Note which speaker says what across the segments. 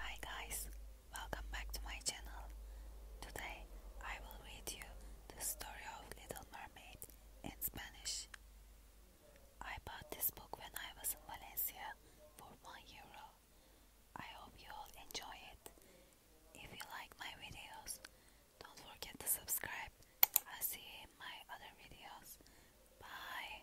Speaker 1: Hi guys, welcome back to my channel. Today I will read you the story of Little Mermaid in Spanish. I bought this book when I was in Valencia for 1 euro. I hope you all enjoy it. If you like my videos, don't forget to subscribe. I'll see you in my other videos. Bye.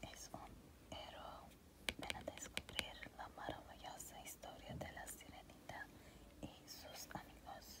Speaker 1: Es un héroe. Ven descubrir la maravillosa historia de la sirenita y sus amigos.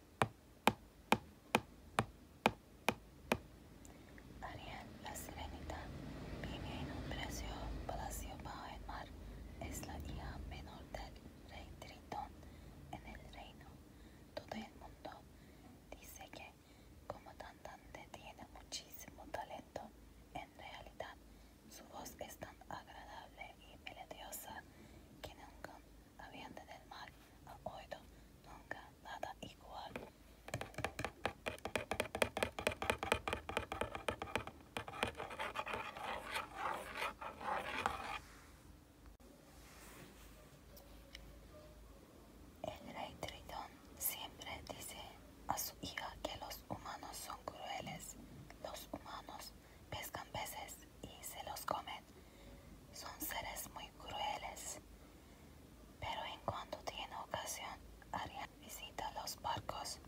Speaker 1: Ariel, la sirenita, vive en un palacio bajo el mar. Es la hija menor del rey Tritón en el reino. Todo el mundo dice que como cantante tiene muchísimo talento. En realidad, su voz es tan agradable y melodiosa que nunca habían del mar, ha oído nunca nada igual. El rey Tritón siempre dice a su hija que los humanos son crueles. Los humanos pescan peces y se los comen son seres muy crueles, pero en cuanto tiene ocasión, Arián visita los barcos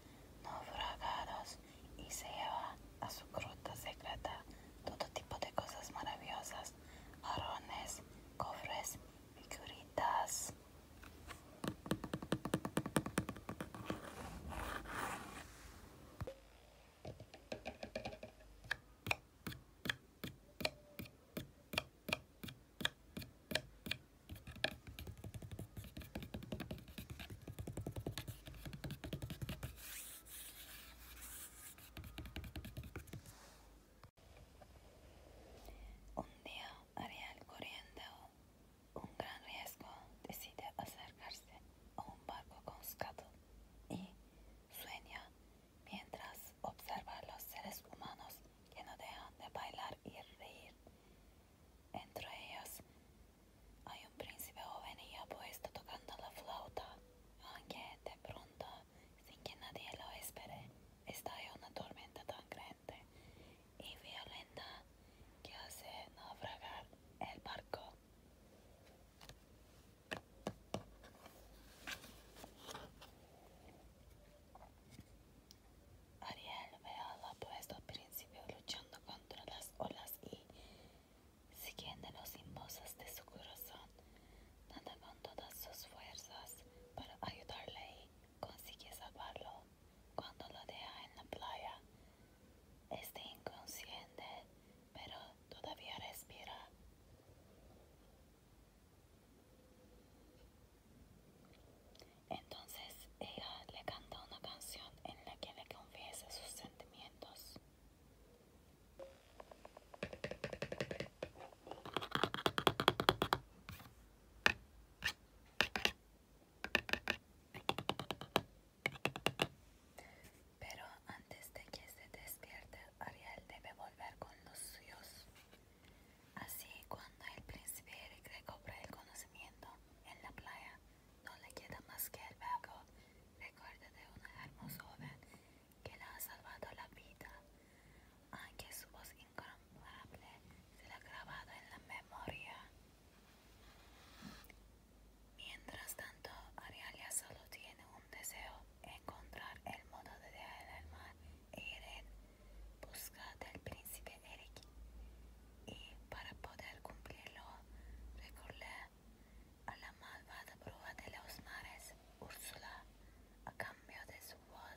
Speaker 1: naufragados y se lleva a su gruta secreta todo tipo de cosas maravillosas, arones, cofres, figuritas. Un día Ariel corriendo un gran riesgo decide acercarse un barco con escato, y sueña mientras observa a los seres humanos que no dejan de bailar y reír. Entre ellos hay un príncipe joven y apuesto tocando la flauta, aunque de pronto, sin que nadie lo espere, estalla una tormenta tan grande y violenta que hace naufragar el barco. Ariel ve al apuesto principio luchando contra las olas y, siguiendo los impulsos de su corazón, dando con todas sus fuerzas para ayudarle y consigue salvarlo cuando lo deja en la playa. Está inconsciente, pero todavía respira. Entonces ella le canta una canción en la que le confiesa sus sentimientos. Pero antes de que se despierte, Ariel debe volver con los suyos. Así, cuando el príncipe Eric recobre el conocimiento en la playa, no le queda más que el vago recuerdo de una hermosa joven que le ha salvado la vida, aunque su voz incomparable se la ha grabado en la memoria. Mientras tanto, Arialia solo tiene un deseo, encontrar el modo de dejar el mar e busca del príncipe Eric. Y para poder cumplirlo, recorre a la malvada bruja de los mares, Úrsula, a cambio de su voz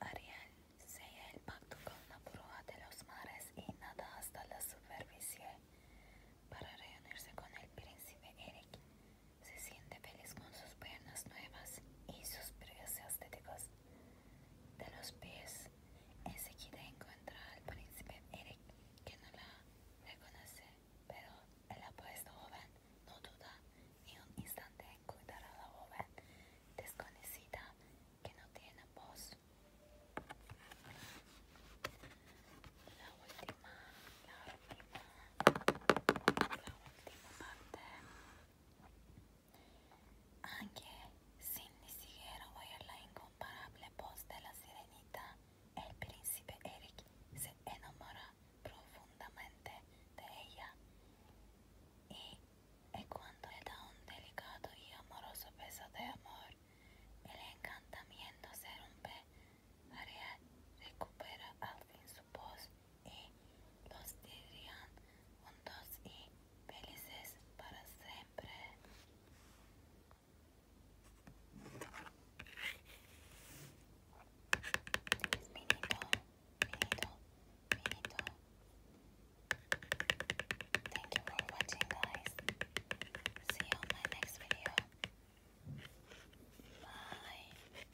Speaker 1: Ariel sella el pacto con la prueba de los mares y nada hasta la superficie. Para reunirse con el príncipe Eric, se siente feliz con sus piernas nuevas y sus precios estéticos de los pies. Enseguida encuentra al príncipe Eric, que no la reconoce, pero el apuesto joven no duda ni un instante en cuidar a la joven desconocida que no tiene voz. la última, la última parte. Aunque sin ni siquiera oír la incomparable voz de la sirenita, el príncipe Eric se enamora profundamente de ella. Y cuando le da un delicado y amoroso beso de amor, el encantamiento se rompe, Ariel recupera al fin su voz y los dirían juntos y felices para siempre. Finito, finito, finito. Thank you for watching, guys. See you on my next video. Bye.